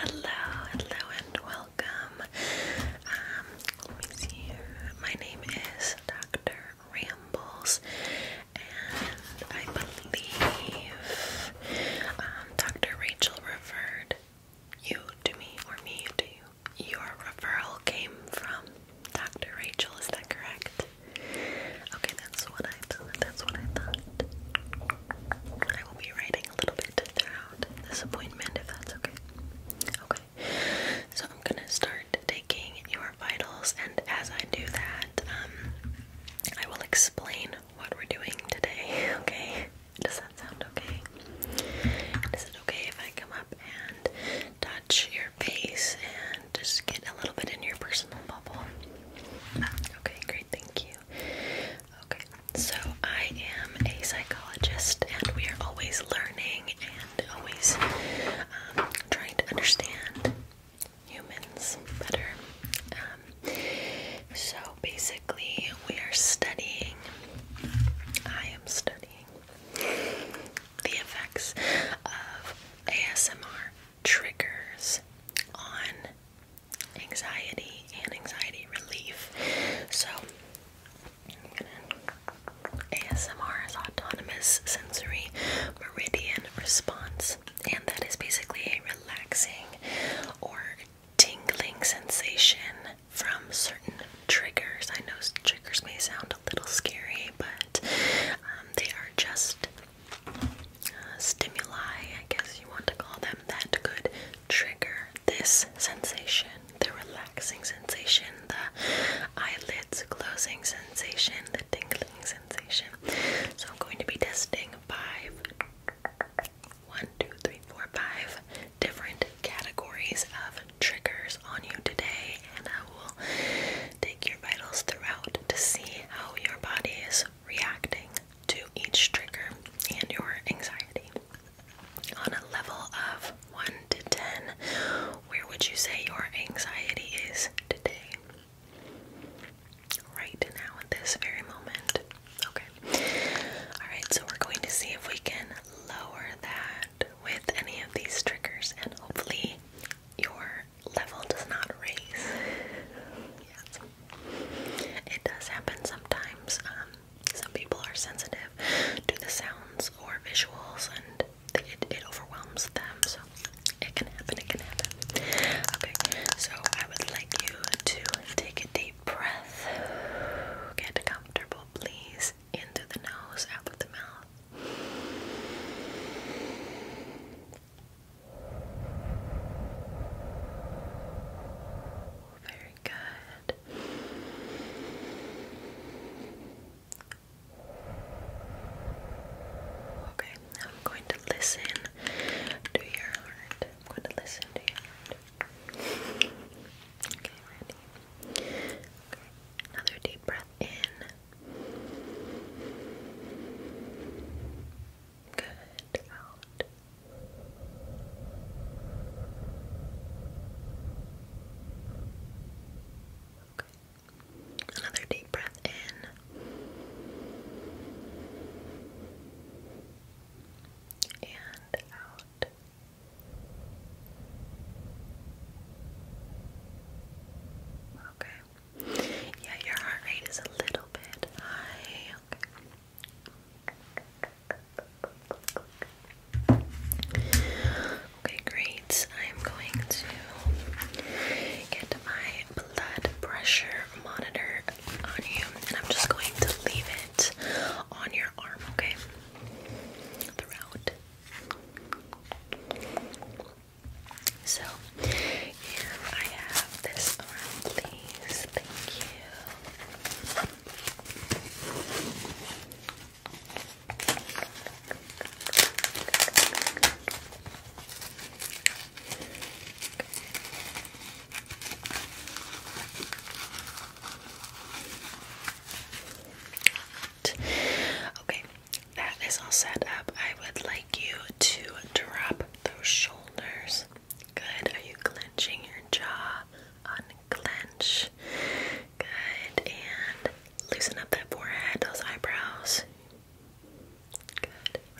Hello, hello, and welcome. Um, My name is Dr. Rambles, and I believe um, Dr. Rachel referred you to me or me to you your referral came from Dr. Rachel, is that correct? Okay, that's what I thought. That's what I thought. I will be writing a little bit throughout this appointment if that's okay. Okay. So I'm gonna start taking your vitals and as I do that, um I will explain what we're doing today, okay? Does that sound okay? okay if I come up and touch your face and just get a little bit in your personal bubble? Okay, great, thank you. Okay, so I am a psychologist and we are always learning and always um, trying to understand humans better. Um, so basically, we are studying. I am studying the effects of ASMR triggers on anxiety and anxiety relief. So, ASMR is autonomous sensory meridian response, and that is basically a relaxing or tingling sensation from certain triggers. I know triggers may sound a little scary, but um, they are just uh, stimuli, I guess you want to call them, that could trigger this sensation the relaxing sensation, the eyelids closing sensation, the tingling sensation. So I'm going to be testing five one, two, three, four, five different categories of triggers on you today, and I will take your vitals throughout to see how your body is reacting to each trigger and your anxiety. On a level of 1 to 10, where would you say your anxiety is today? Right now, at this very moment. Okay. Alright, so we're going to see if we can lower that with any of these triggers, and hopefully, your level does not raise. yes, it does happen sometimes. Um, some people are sensitive to the sounds or visuals, and it overwhelms them. So it can happen. It can happen. Okay, so I would like you to take a deep breath. Get comfortable, please into the nose, out of the mouth. Very good. Okay, now I'm going to listen to your heart. I'm going to listen to your heart. Okay, ready? Okay, another deep breath in. Good. Out. Okay. Another deep breath in. And out. Okay. Yeah, your heart rate is a little bit high. Okay. great. I'm going to get my blood pressure monitor on you, and I'm just going to leave it on your arm, okay? Throughout so, and I have this arm, please. Thank you. Okay that is all set up, I would like you to drop those shoulders. Good. Are you clenching your jaw? Unclench. Good. And loosen up that forehead, those eyebrows. Good.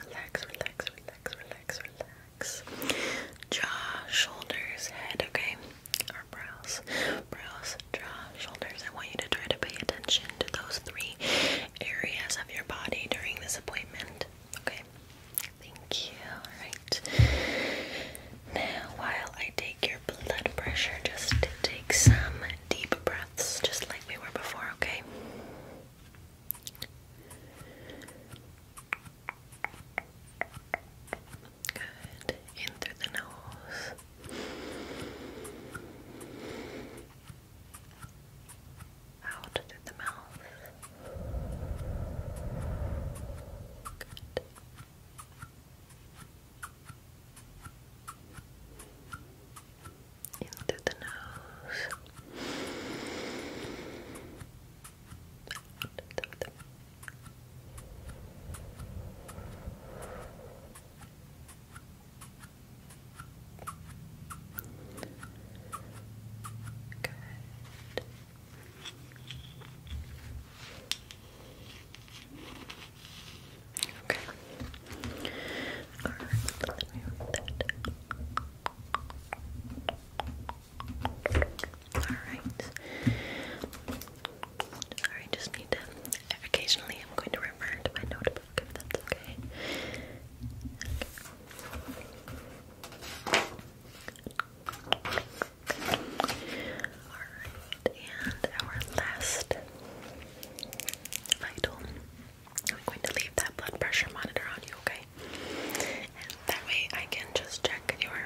Relax, relax, relax, relax, relax. Jaw, shoulders, head, okay? brows, brows, draw shoulders. I want you to try to pay attention to those three areas of your body during this appointment. Okay. Thank you. Alright. Now, while I take your blood pressure, just take some deep breaths, just like we were before, okay? Good. In through the nose. Out through the mouth. Good. In through the nose. Good. Okay. All right, let me move that. All right. Sorry, just need to. Occasionally, I'm going to refer to my notebook if that's okay. Alright, and our last vital. I'm going to leave that blood pressure monitor on you, okay? And that way I can just check your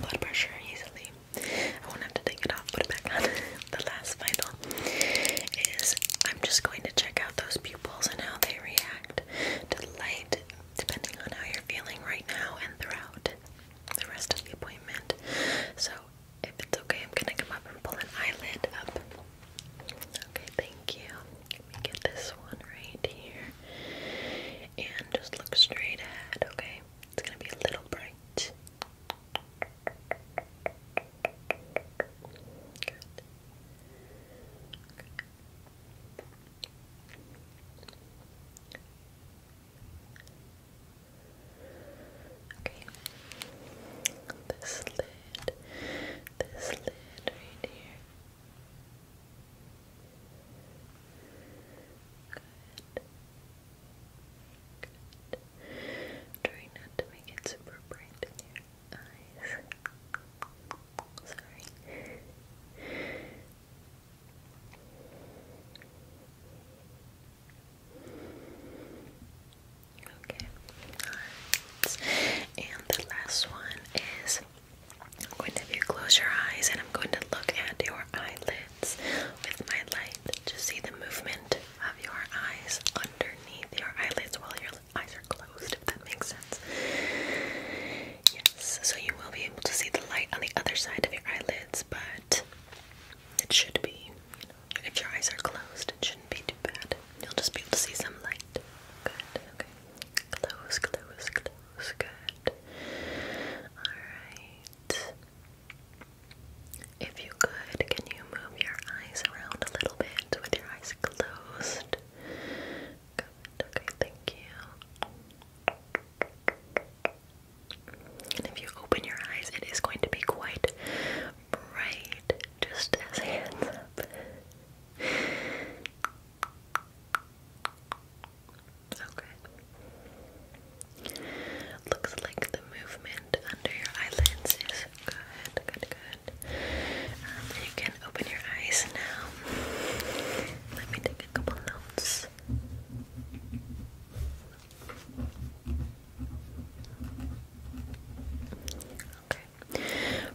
blood pressure easily. I will to take it off, put it back on. the last final is I'm just going to check out those pupils and how they react to light, depending on how you're feeling right now and throughout the rest of the appointment. So, if it's okay, I'm gonna come up and pull an eyelid up. Okay, thank you. Let me get this one right here. And just look straight ahead, okay? It's gonna be a little bright. Okay. This lid, this lid right here. Good. Try not to make it super bright in your eyes. Sorry. Okay. And the last one is I'm going to have you close your eyes and I'm going to look at your eyelids with my light to see the movement have your eyes underneath your eyelids while your eyes are closed, if that makes sense. Yes, so you will be able to see the light on the other side of your eyelids, but it should be, you know, if your eyes are closed, it shouldn't be too bad. You'll just be able to see some light. Good, okay. Close, close, close, good. Alright. If you could, can you move your eyes around a little bit with your eyes closed? okay, thank you. And if you open your eyes, it is going to be quite bright, just as hands up. Okay. Looks like the movement under your eyelids is good, good, good. Um, you can open your eyes now. Let me take a couple notes. Okay,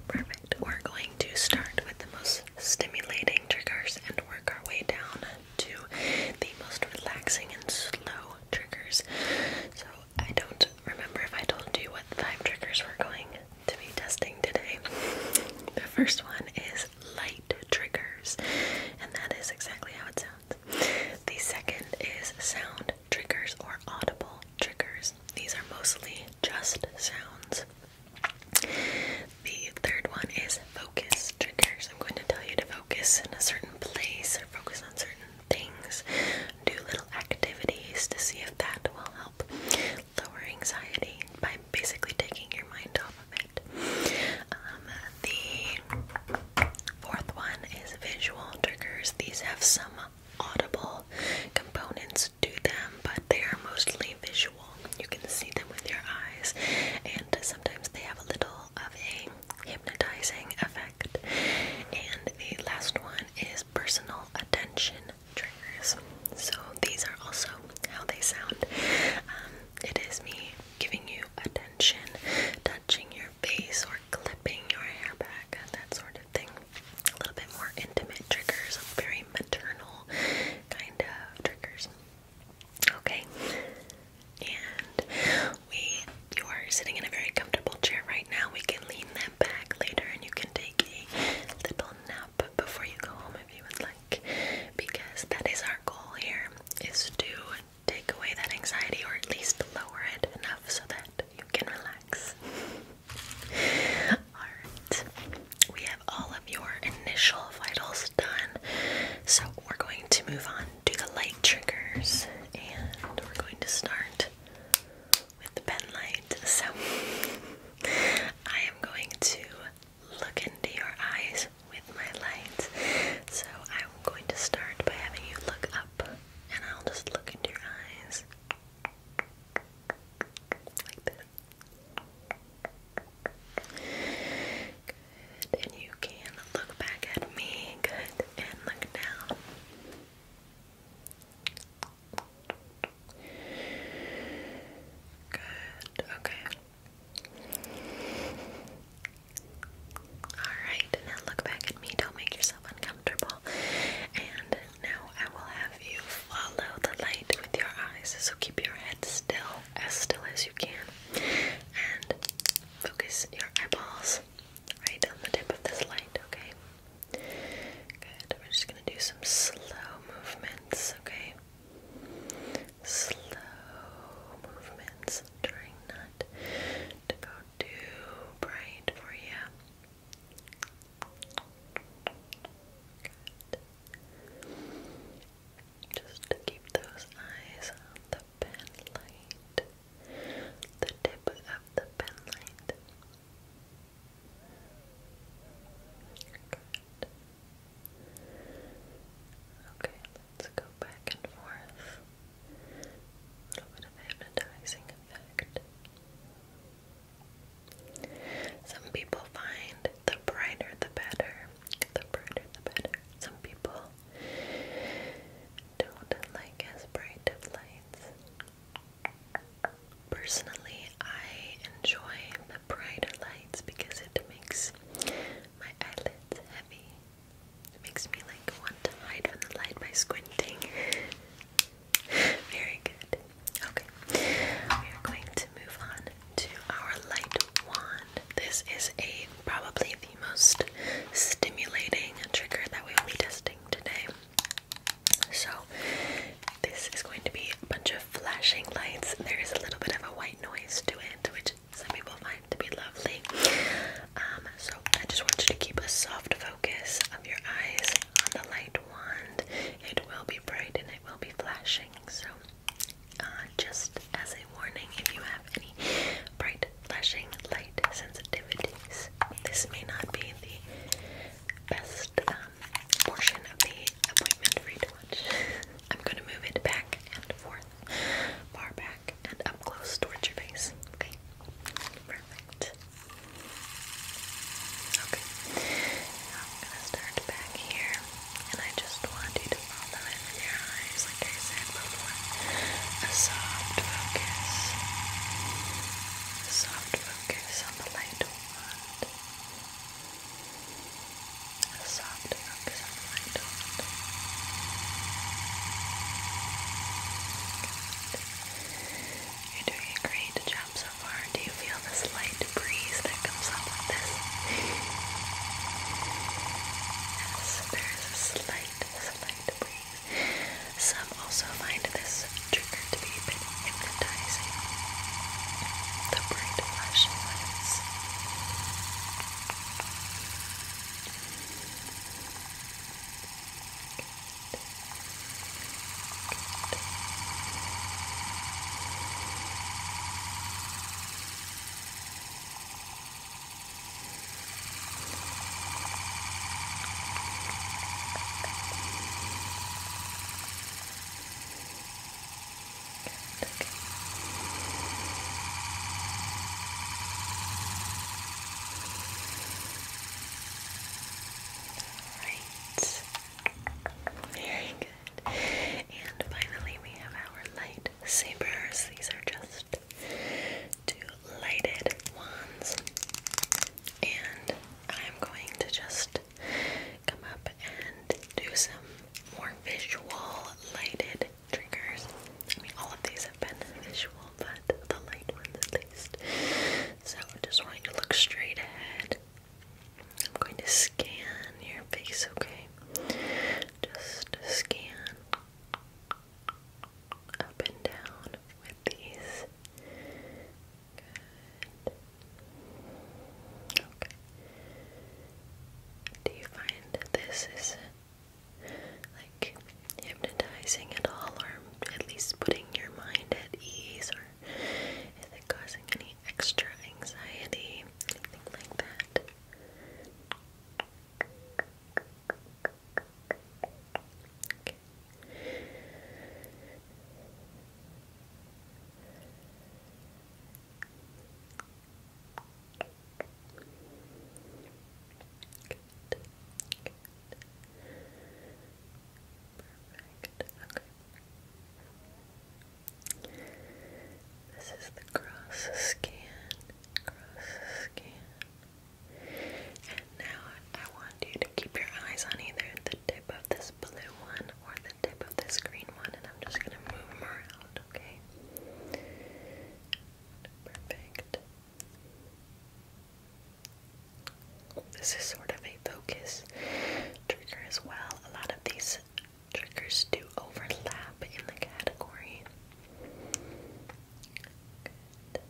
perfect. We're going to start with the most stimulating triggers and work our way down to the most relaxing and slow triggers. So I don't remember if I told you what five triggers we're going to be testing today. The first one is light triggers, and that is exactly how it sounds. The second is sound triggers or audible triggers. These are mostly just sounds. The third one is focus triggers. I'm going to tell you to focus in a certain place or focus on certain things, do little activities to see if that will help lower anxiety by basically taking your mind off of it. Um, the fourth one is visual triggers. These have some audible components to them, but they are mostly visual. You can see them with your eyes, and sometimes they have a little of a hypnotizing effect. And the last one is personal attention triggers. So these are also how they sound. Um, it is me giving you attention, touching your face, or clipping your hair back, that sort of thing. A little bit more intimate triggers, very maternal kind of triggers. Okay, and we you are sitting in a very comfortable chair right now. We can lean them back later and you can take a little nap before you go home if you would like. Because that is our goal here is to take away that anxiety or at least lower it enough so that you can relax. Alright. We have all of your initial vitals done. So we're going to move on to the light triggers and we're going to start with the pen light. So I am going to look into your eyes with my light. So I'm going to start by having you look up and I'll just look into your eyes. Like this. Good. And you can look back at me. Good. And look down. Good, okay. Alright, now look back at me. Don't make yourself uncomfortable. And now I will have you follow the light with your eyes. So keep your head still, as still as you can. And focus your eyeballs right on the tip of this light, okay? Good. We're just going to do some slow movements, okay? Slow movements. I'm to go too bright for you. Just to keep those eyes on the pen light the tip of the pen light. Okay, let's go back and forth. A little bit of hypnotizing effect. Some people find the brighter the better. The brighter the better. Some people don't like as bright of lights. Personally, I enjoy the brighter lights because it makes my eyelids heavy. It makes me like want to hide from the light by squinting. Very good. Okay, we are going to move on to our light wand. This is a probably the most stimulating trigger that we will be testing. So, this is going to be a bunch of flashing lights. There is a little bit of a white noise to it, which some people find to be lovely. Um, so, I just want you to keep a soft focus of your eyes on the light wand. It will be bright and it will be flashing. So, uh, just as a warning, if you have any bright flashing light sensitivities. This may not be the best um, portion of the appointment for you I'm going to move it back and forth, far back and up close towards your face. Okay, perfect. Okay, now I'm gonna start back here, and I just want you to follow your eyes, like I said before. A soft focus soft focus on the lighter A soft focus on the lighter You're doing a great job so far. Do you feel this light breeze that comes up with this? Yes, there is a slight, slight breeze. Some also find this trigger to be a bit hypnotizing. The bright flashing lights. Alright. Very good. And finally we have our lightsabers. These are just two lighted wands and I'm going to just come up and do some more visual lighted triggers. I mean, all of these have been visual, but the light ones at least. So, just want you to look straight ahead. I'm going to scan your face, okay? Just scan up and down with these. Okay. Do you find this is like hypnotizing at all, or at least putting your mind at ease, or is it causing any extra anxiety, anything like that? Okay. Good. This is the cross scan. Cross scan. And now I want you to keep your eyes on either the tip of this blue one or the tip of this green one, and I'm just gonna move them around, okay? Perfect. This is sort of a focus trigger as well. A lot of these triggers do overlap in the category. Good.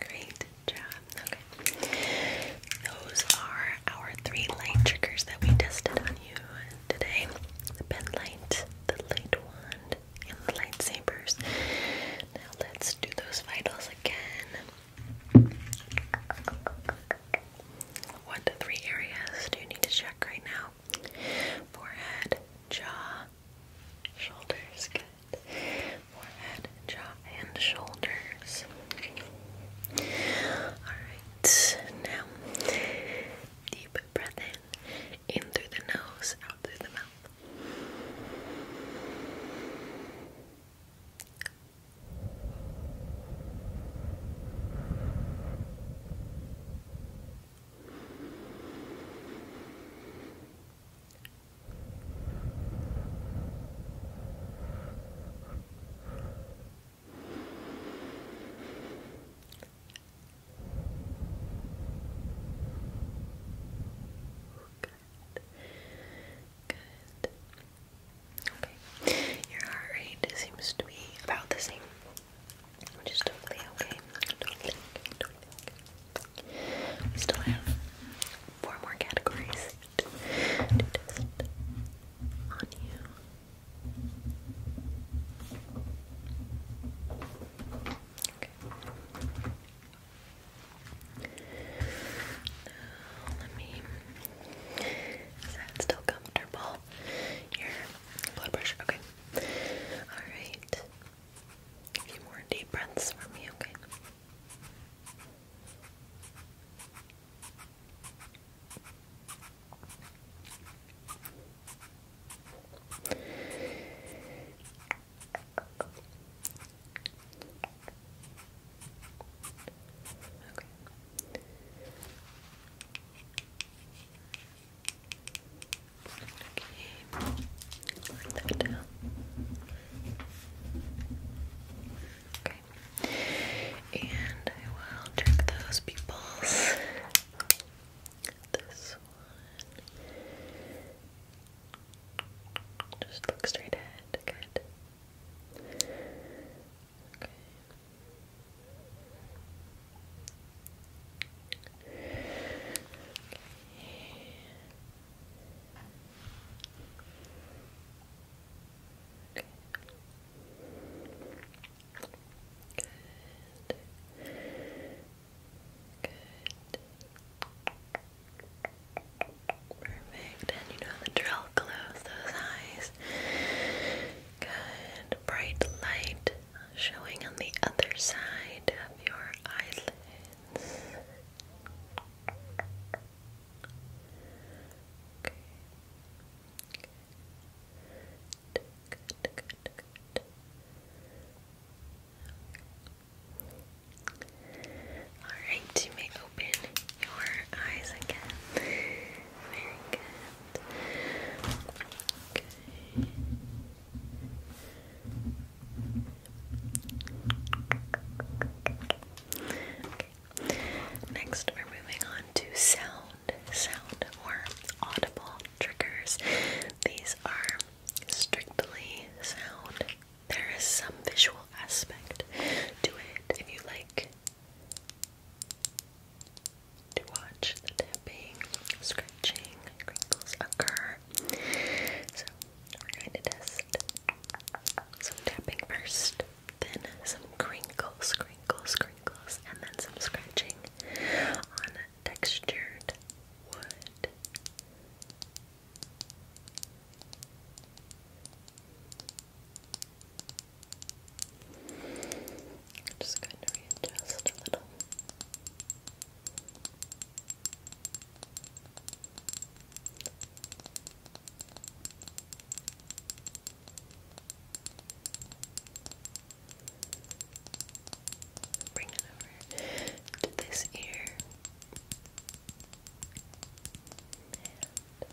Great job. Okay. Those are our three light triggers that we tested on you today. The pen light, the light wand, lightsabers. Now let's do those vitals again. What three areas do you need to check right now? Forehead, jaw, shoulders. Forehead, jaw, and shoulders. Alright, now deep breath in. In through the nose, out through the mouth. Good. Good. Okay. Your heart rate seems to be about the same. Which is totally okay. Totally Totally We still have four more categories to test on you let me. Is that still comfortable? Your blood pressure. Okay. All right. A few more deep breaths from me. Okay. Okay. Okay. Okay. And I will check those people's. This one. Just look straight ahead. Good. Okay. Good. Perfect. And you know the drill. Close those eyes. Good. Bright light showing on the other side of your eyelids. Good, good, good, good. Alright, you may open your eyes again. Very good. Okay. Next, we're moving on to sound, sound or audible triggers. These are strictly sound. There is some visual aspect to it. If you like to watch the tapping, scratching, crinkles occur. So we're going to test some tapping first, then some crinkles, crinkles, crinkles, and then some scratching on textured wood. just going to readjust a little. Bring it over to this ear and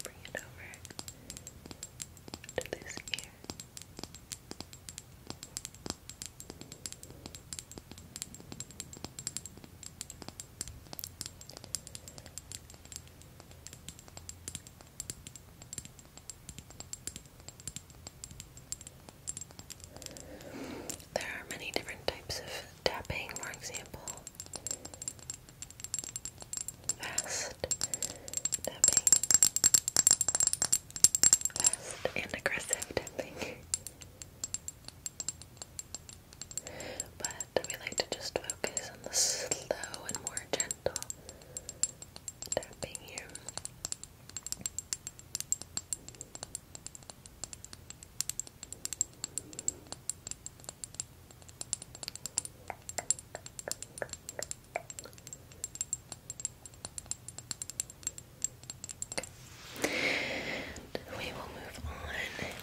bring it over to this ear. There are many different types of tapping, for example, fast tapping, fast and aggressive tapping. But we like to just focus on the slow and more gentle tapping here. We will move on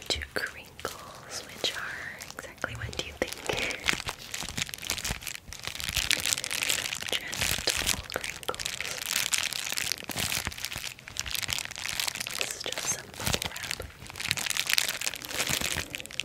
to crinkles, which are exactly what do you think? Gentle crinkles. This is just some bubble wrap. Bring it over to this ear.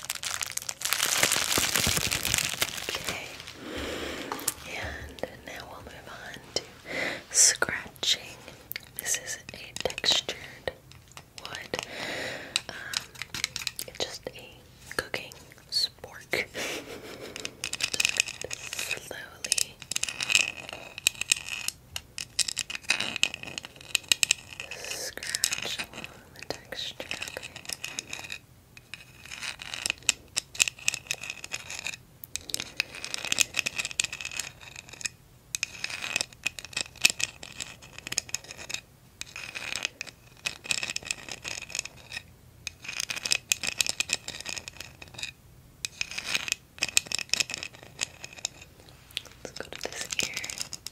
Okay, and now we'll move on to scratching. This is a textured wood, um, just a cooking spork. slowly scratch along the texture, okay? Let's go to this ear.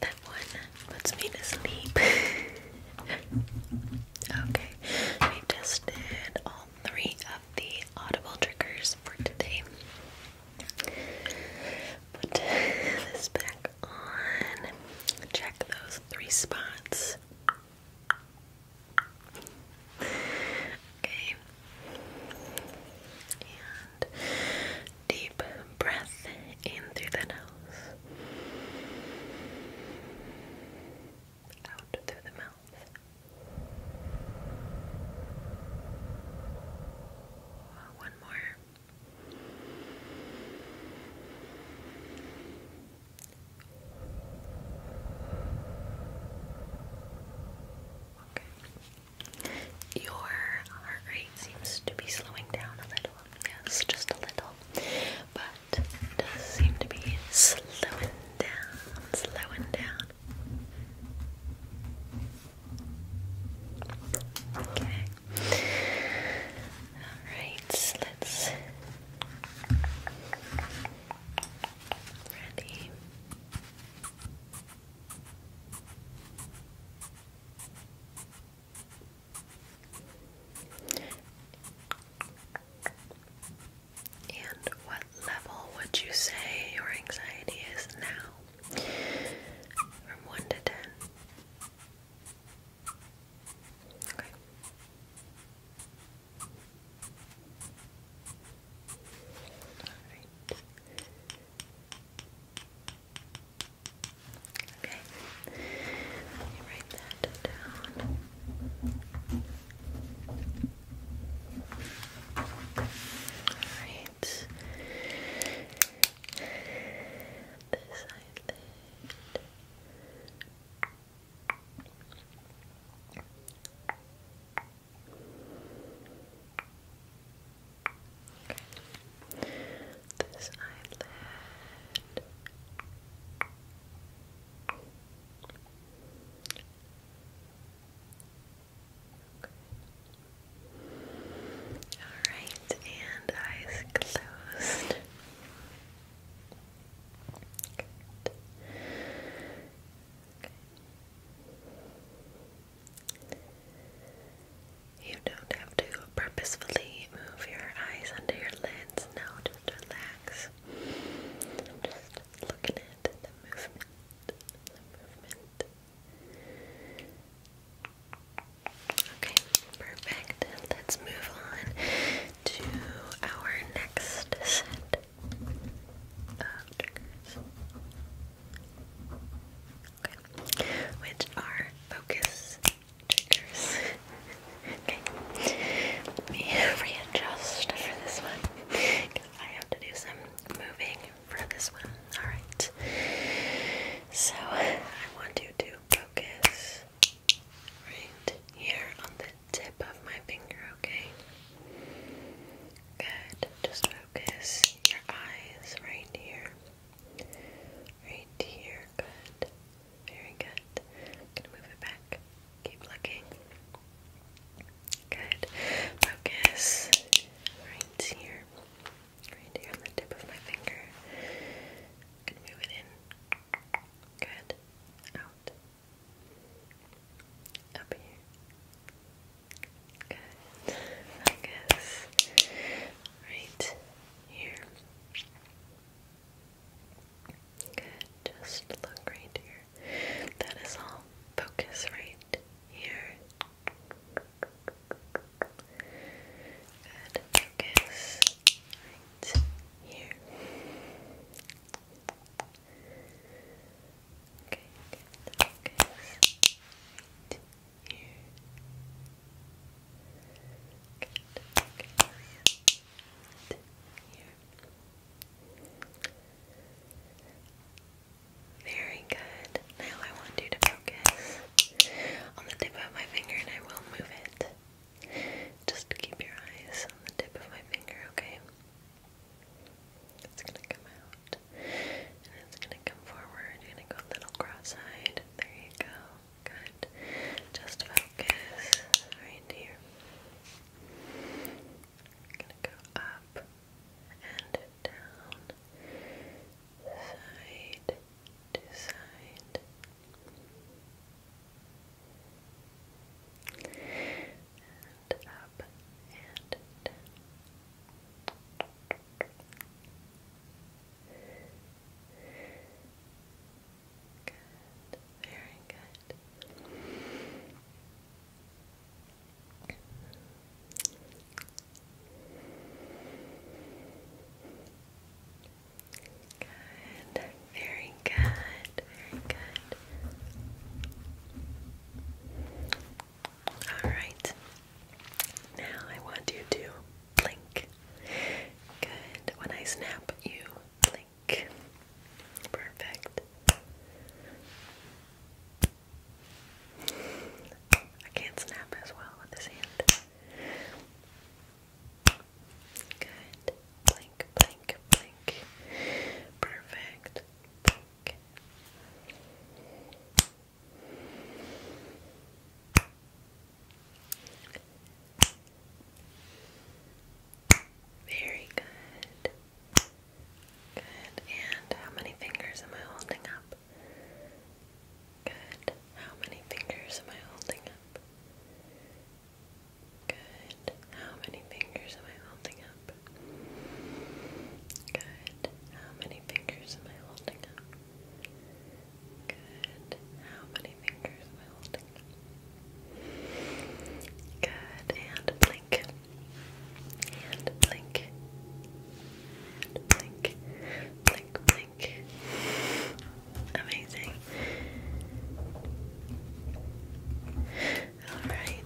That one puts me to sleep. Okay, we tested all three of the audible triggers for today. Put this back on. Check those three spots. Okay. And deep breath in through the nose out through the mouth. Oh, one more. Okay. Your heart rate seems to be slowing down a little. Yes, just a little. But does seem to be slowing down, slowing down. Okay. Alright, let's ready. And what level would you say your anxiety is now? From 1 to 10. Okay. Let me write that down. Alright. This eyelid. This eyelid. All right, and eyes closed. You don't have to purposefully move your eyes under your lids. No, just relax face. I'm just looking at the movement, Okay, perfect. Let's move on to our next set of triggers. which are focus triggers. okay, let me readjust for this one I have to do some moving for this one. Alright, so I want you to focus right here on the tip of my finger, okay? Good, just focus your eyes right here. Right here, good. Very good. i move it back. Keep looking. Good. Focus right here. Right here on the tip of my finger. i move it in. Good. Out. Up here. Good. Focus. Right here. Good. Just look right here. That is all. Focus right here. Good. Focus right here. Okay. Focus right here. Good. Focus right here. Very good. Now I want you to focus on the tip of my finger and I will move it. Just keep your eyes on the tip of my finger, okay? It's gonna come out and it's gonna come forward. you go little cross-eyed. There you go. Good. Just focus right here. I'm gonna go up and down, side to side. And up and down. Good. Very good. Good. Very good. Very good. All right. Now I want you to blink. Good. When I snap, you blink back. Perfect. I can't snap as well with this hand. Good. Blink, blink, blink. Perfect. Very good. Good. And how many fingers am I holding up? Good. How many fingers am I holding up? Good. How many fingers am I holding up? Good. How many fingers am I holding up? Good. How many fingers am I holding Good, and blink. And blink. blink. Blink, blink. Amazing. Alright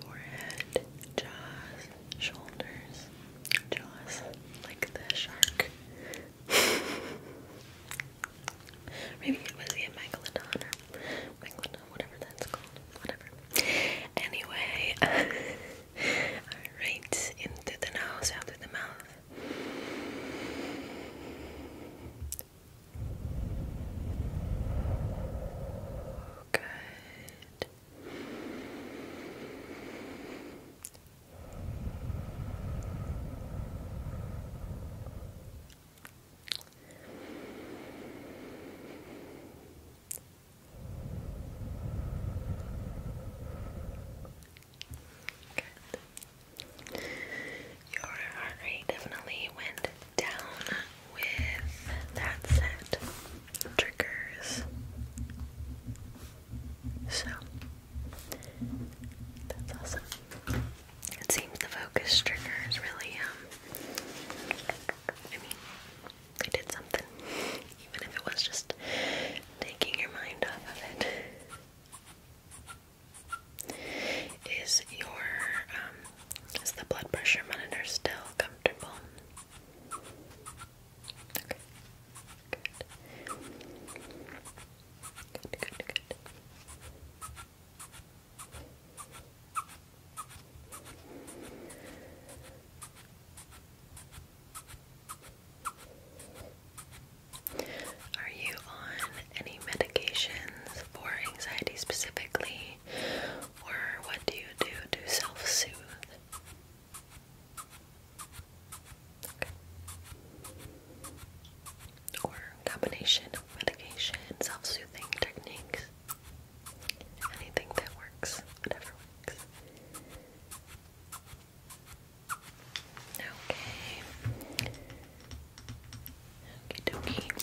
forehead, jaws, shoulders, jaws like the shark. Maybe it was a megalodon or megalodon, whatever that's called, whatever. Anyway, alright, in the nose, out through the mouth. Good. Good. Your heart rate definitely went down with that set triggers. So that's awesome. It seems the focus triggers really um I mean they did something. Even if it was just taking your mind off of it. Is your um, is the blood pressure monitor still comfortable? Okay. Good. Good, good, good. Are you on any medications for anxiety specifically, or what do you do to self-soothe? Or combination medication, self-soothing techniques. Anything that works, whatever works. Okay. Okie dokie.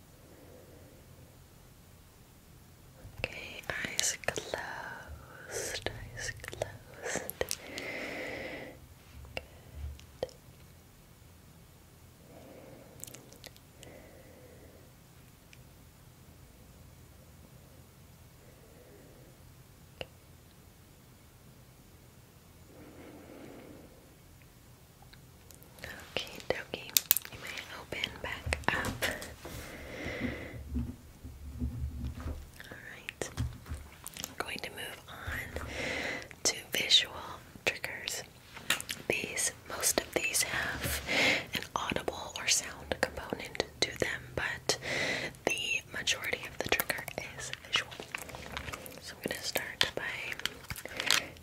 Okay, eyes closed, eyes closed. Okay, dokie. You may open back up. Alright. I'm going to move on to visual triggers. These, most of these have an audible or sound component to them, but the majority of the trigger is visual. So I'm going to start by LED remote,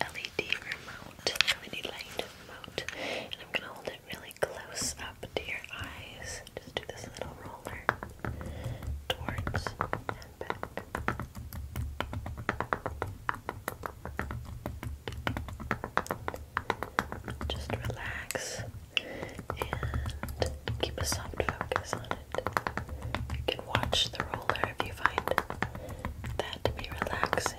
LED light remote, and I'm gonna hold it really close up to your eyes. Just do this little roller towards and back. Just relax and keep a soft focus on it. You can watch the roller if you find that to be relaxing.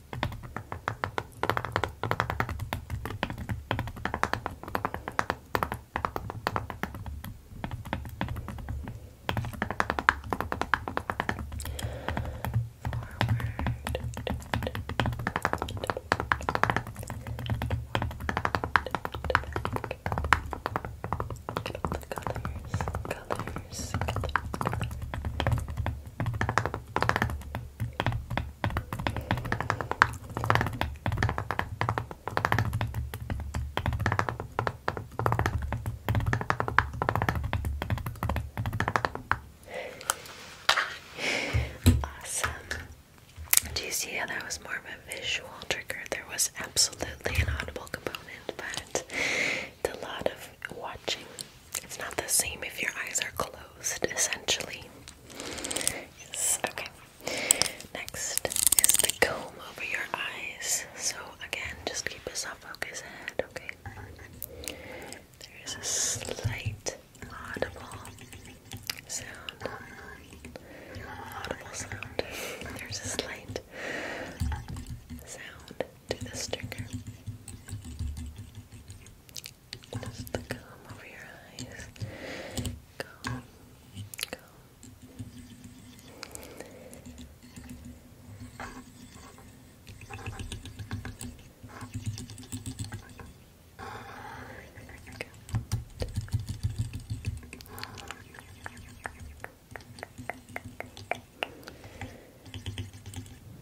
Get all the colors, colors, colors. Color. Awesome. Do you see how that was more of a visual trigger? There was absolutely an audible component, but it's a lot of watching. It's not the same if your eyes are closed, essentially. Yes, okay. Next is the comb over your eyes. So again, just keep a soft focus head, okay? There is a slight audible sound. Audible sound. There's a slight sound to the sticker. Just the comb over your eyes. Comb, comb.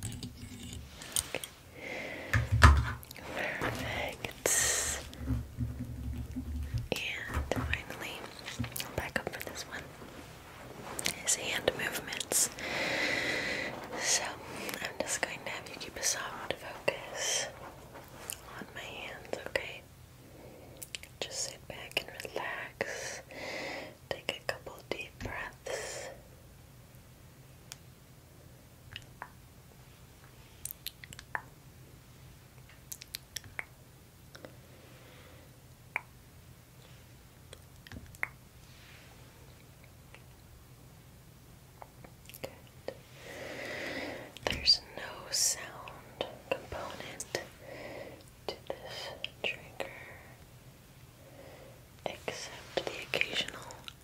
Perfect. And finally, back up for this one. Is hand movements. So I'm just going to have you keep a soft focus on my hands, okay? Just sit back and relax. Take a couple deep breaths. Good. There's no sound component to this trigger except the occasional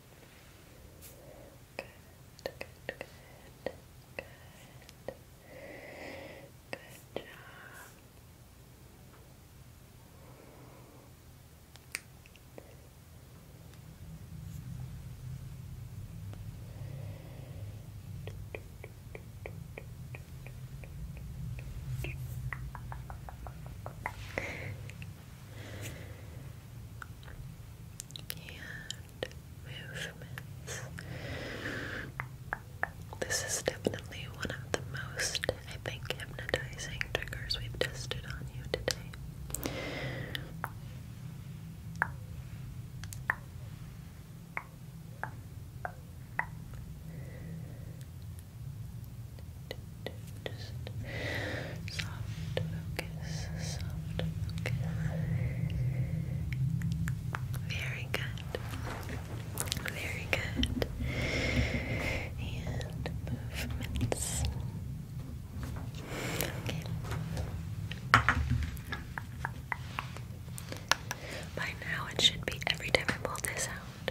Good, good, good, good. Good job and movements. This is definitely one of the most, I think, hypnotizing triggers we've tested on you today just soft focus, soft focus. Very good, very good. And movements. Okay. By now, it should be every time I pull this out.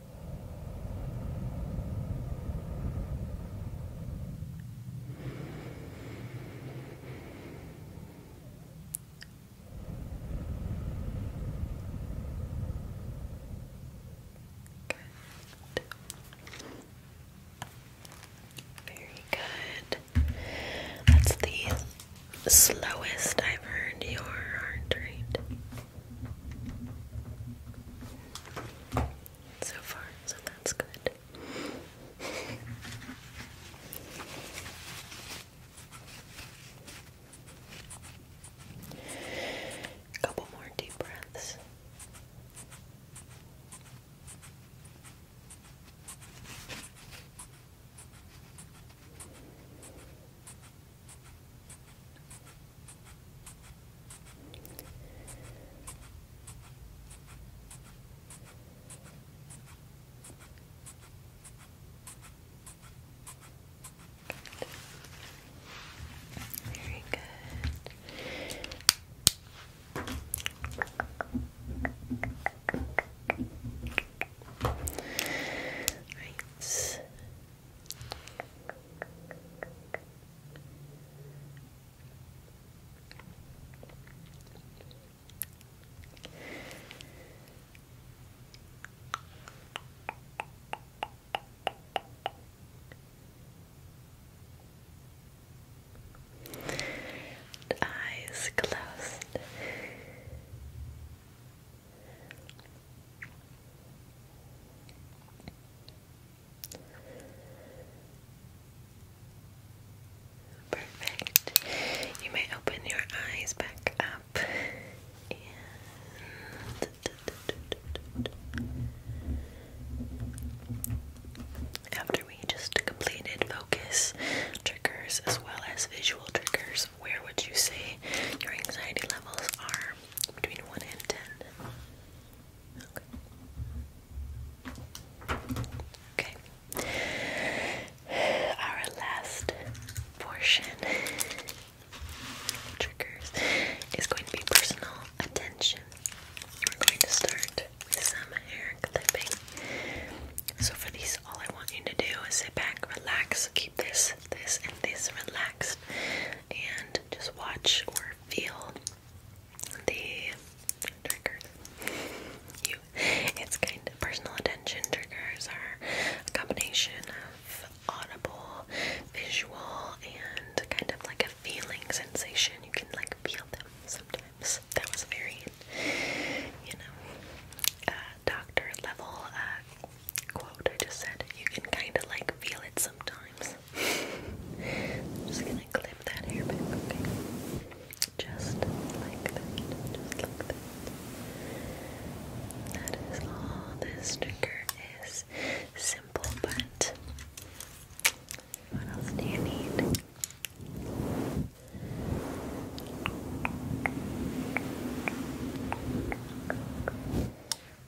Very good. That's the slowest I've heard your heart rate. So far, so that's good. A couple more deep breaths. Good. Very good. Right. Eyes closed. Perfect. You may open your eyes back up after we just completed focus triggers as well as visual triggers, where would you say your anxiety levels are between 1 and 10. Okay. okay. Our last portion triggers is going to be personal attention. We're going to start with some hair clipping. So for these all I want you to do is sit back, relax, keep this this, and this relaxed, and just watch or feel the triggers. it's kind of personal attention triggers are a combination of audible, visual, and kind of like a feeling sensation. You can like feel them sometimes. That was very, you know, uh, doctor level uh, quote I just said, you can kind of like feel it sometimes. just gonna clip that hair back, okay? Just like just like That is all this trigger is. Simple, but what else do you need?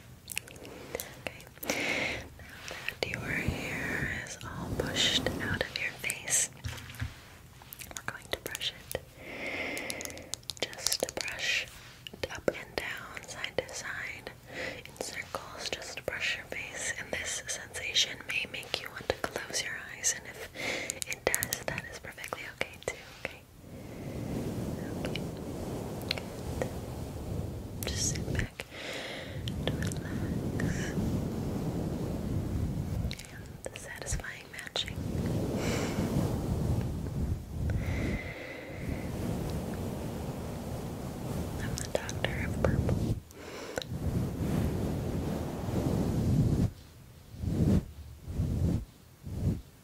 Okay. Now that your hair is all pushed out of your face, we're going to brush it. Just brush up and down, side to side, in circles, just brush your face. And this sensation may make you want to close your eyes, and if it does, that is perfectly okay too, okay? okay? Okay. Just sit back and relax. And the satisfying matching. I'm the doctor of purple.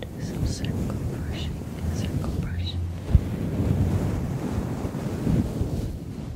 Do some circle brushing, circle brushing. Circle brushing.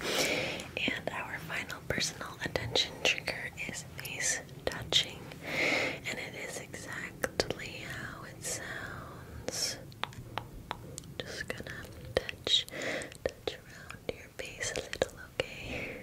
Okay, and our final personal attention trigger is face touching, and it is exactly how it sounds. Just gonna touch, touch around your face a little, okay?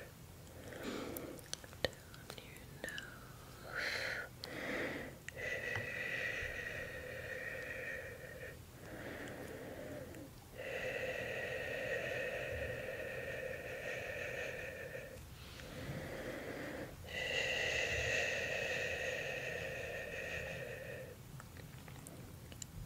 down your nose. Down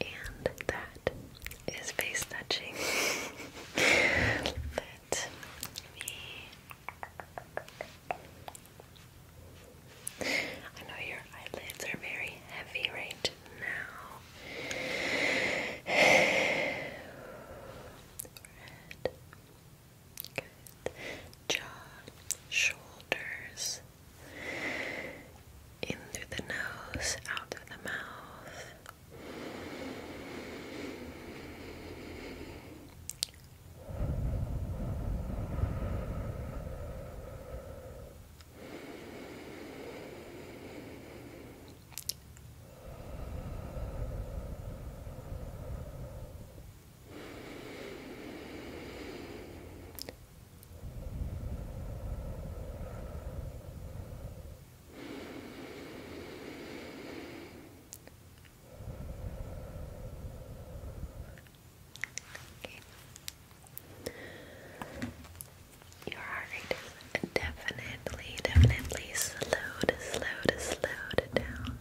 And that is face touching. Let me. I know your eyelids are very heavy right now. Good jaw, shoulders, in through the nose, out through the mouth. Okay. Your heart rate is definitely, definitely slowed, slowed, slowed down.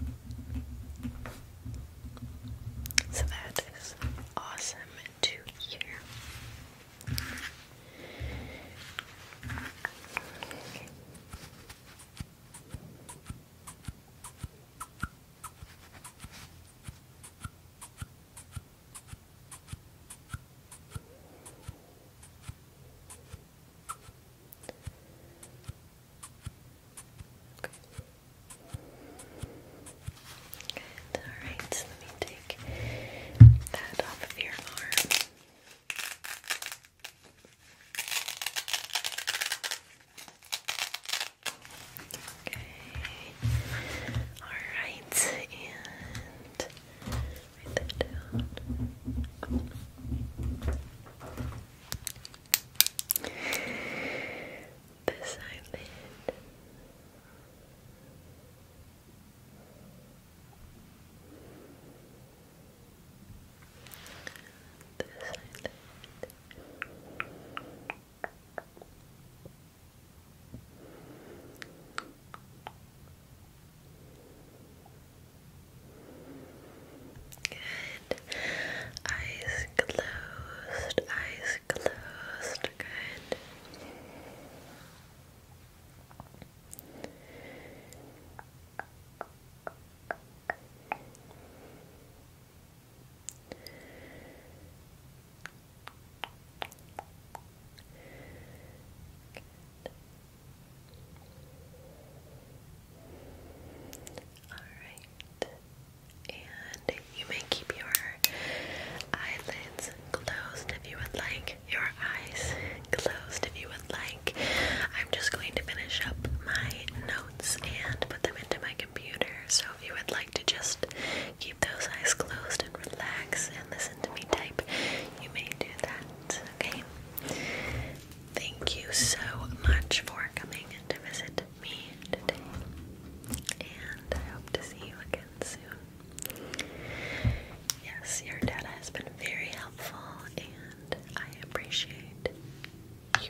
So that is awesome to hear. Okay. Alright, let me take that off of your arm. Okay. Alright, and write that down this island. This eyelid. Good. Eyes closed. Eyes closed. Just good. Good. All right. And you may keep your eyelids closed if you would like, your eyes closed if you would like. I'm just going to finish up my notes and put them into my computer. So if you would like to just keep those eyes closed and relax and listen to me type, you may do that, okay? Thank you so much for coming to visit me and I hope to see you again soon. Yes, your data has been very helpful, and I appreciate you.